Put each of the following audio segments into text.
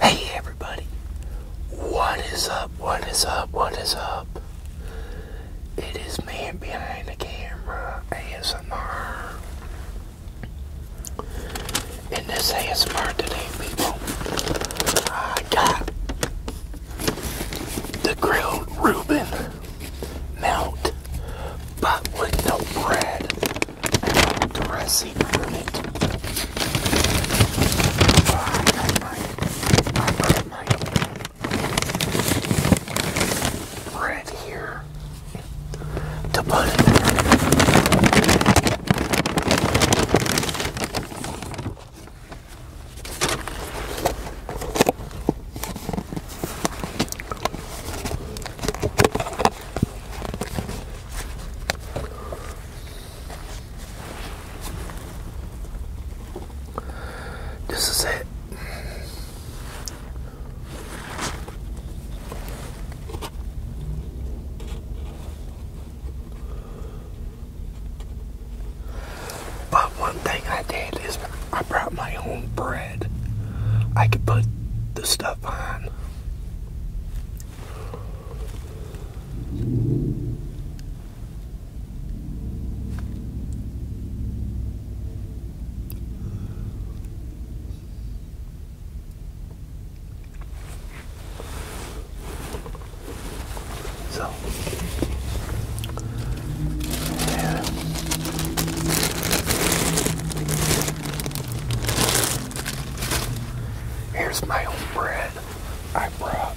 Hey everybody, what is up, what is up, what is up? It is man behind the camera, ASMR. In this ASMR today, people, I got the grilled Reuben melt, but with no bread caressing moment. Oh, I love mine. I here to put it this is it. But one thing I did is I brought my own bread. I could put the stuff on. So, Here's my old bread I brought.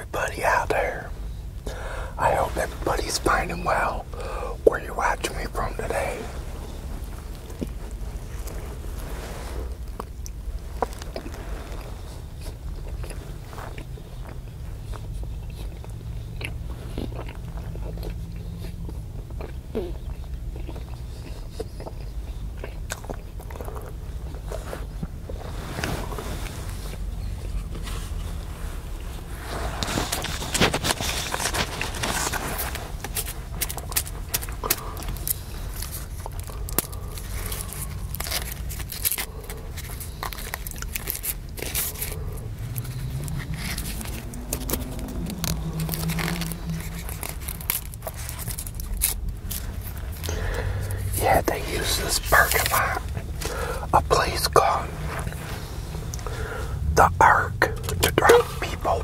everybody out there. I hope everybody's finding well where you're watching me from today. Yeah, they use this perk a lot a place called the Ark to drop people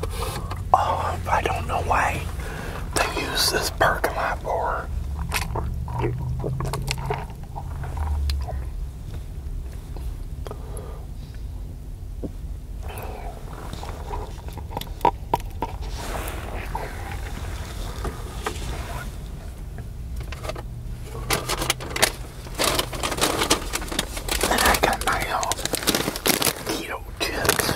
off. I don't know why they use this parking for. And I got my own keto chips.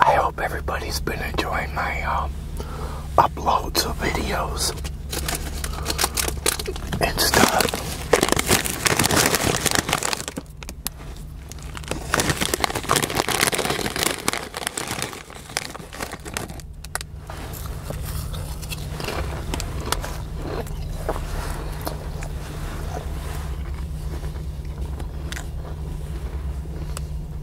I hope everybody's been enjoying my um, uploads of videos and stuff.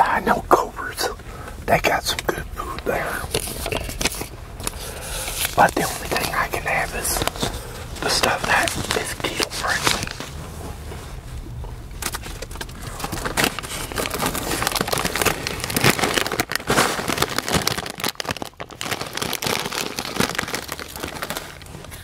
I know Cobras, they got some good food there. But the only thing I can have is the stuff that is keto friendly.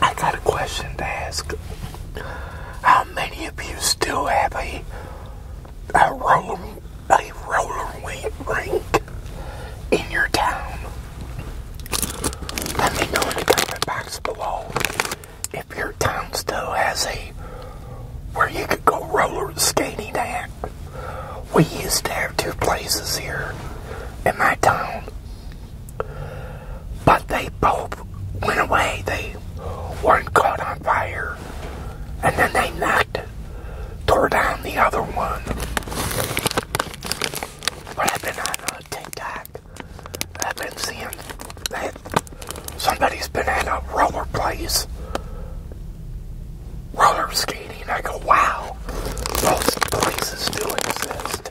I got a question to ask. How many of you still have a a roller a roller rink in your town? Let me know in the comment box below if your town still has a where you could go roller skating at. We used to have two places here in my town. But they both went away. They weren't caught on fire. And then they knocked, tore down the other one. What I've been on uh, TikTok. I've been seeing that somebody's been in a roller place roller skating. I go, wow, those places do exist.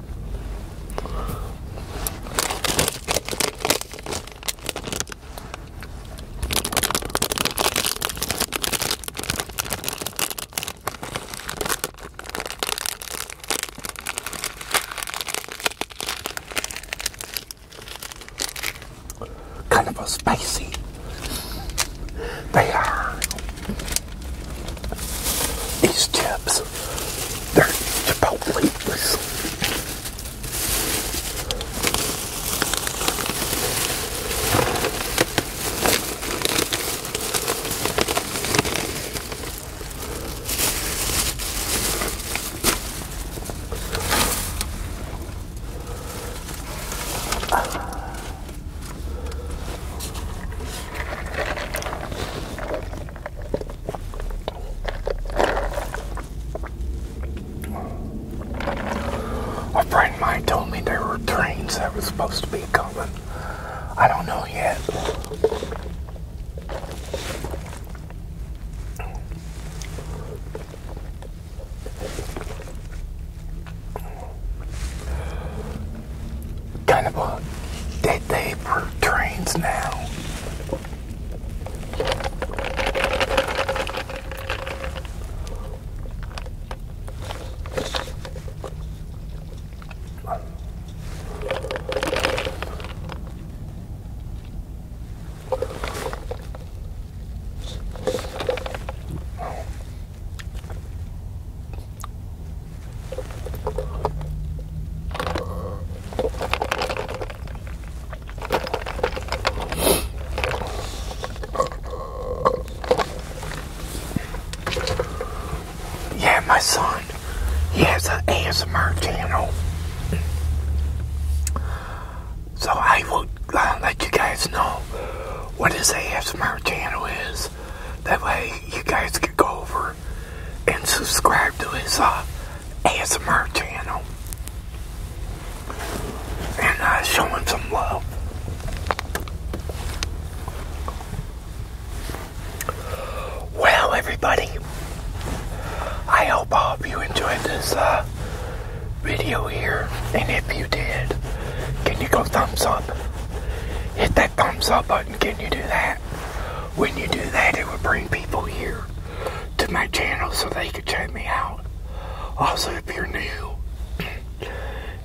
Kind of a spicy. They These chips because they're Chipotle. A friend of mine told me there were trains that were supposed to be coming. I don't know yet kind of a day day for trains now. Yeah, my son, he has an ASMR channel. So I will uh, let you guys know what his ASMR channel is. That way you guys can go over and subscribe to his uh, ASMR channel and uh, show him some love. Well, everybody, I hope all of you enjoyed this uh, video here. And if you did, can you go thumbs up? Hit that thumbs up button. Can you do that? When you do that, it would bring people here to my channel so they could check me out. Also, if you're new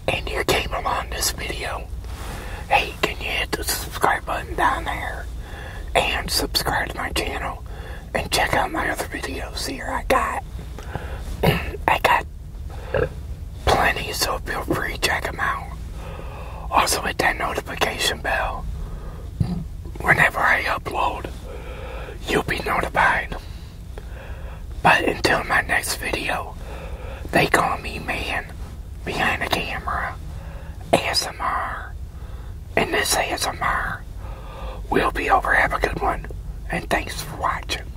and you came along this video, hey, can you hit the subscribe button down there and subscribe to my channel and check out my other videos here I got. I got plenty, so feel free check them out. Also hit that notification bell. Whenever I upload, you'll be notified. But until my next video, they call me man behind the camera, ASMR. And this ASMR will be over. Have a good one. And thanks for watching.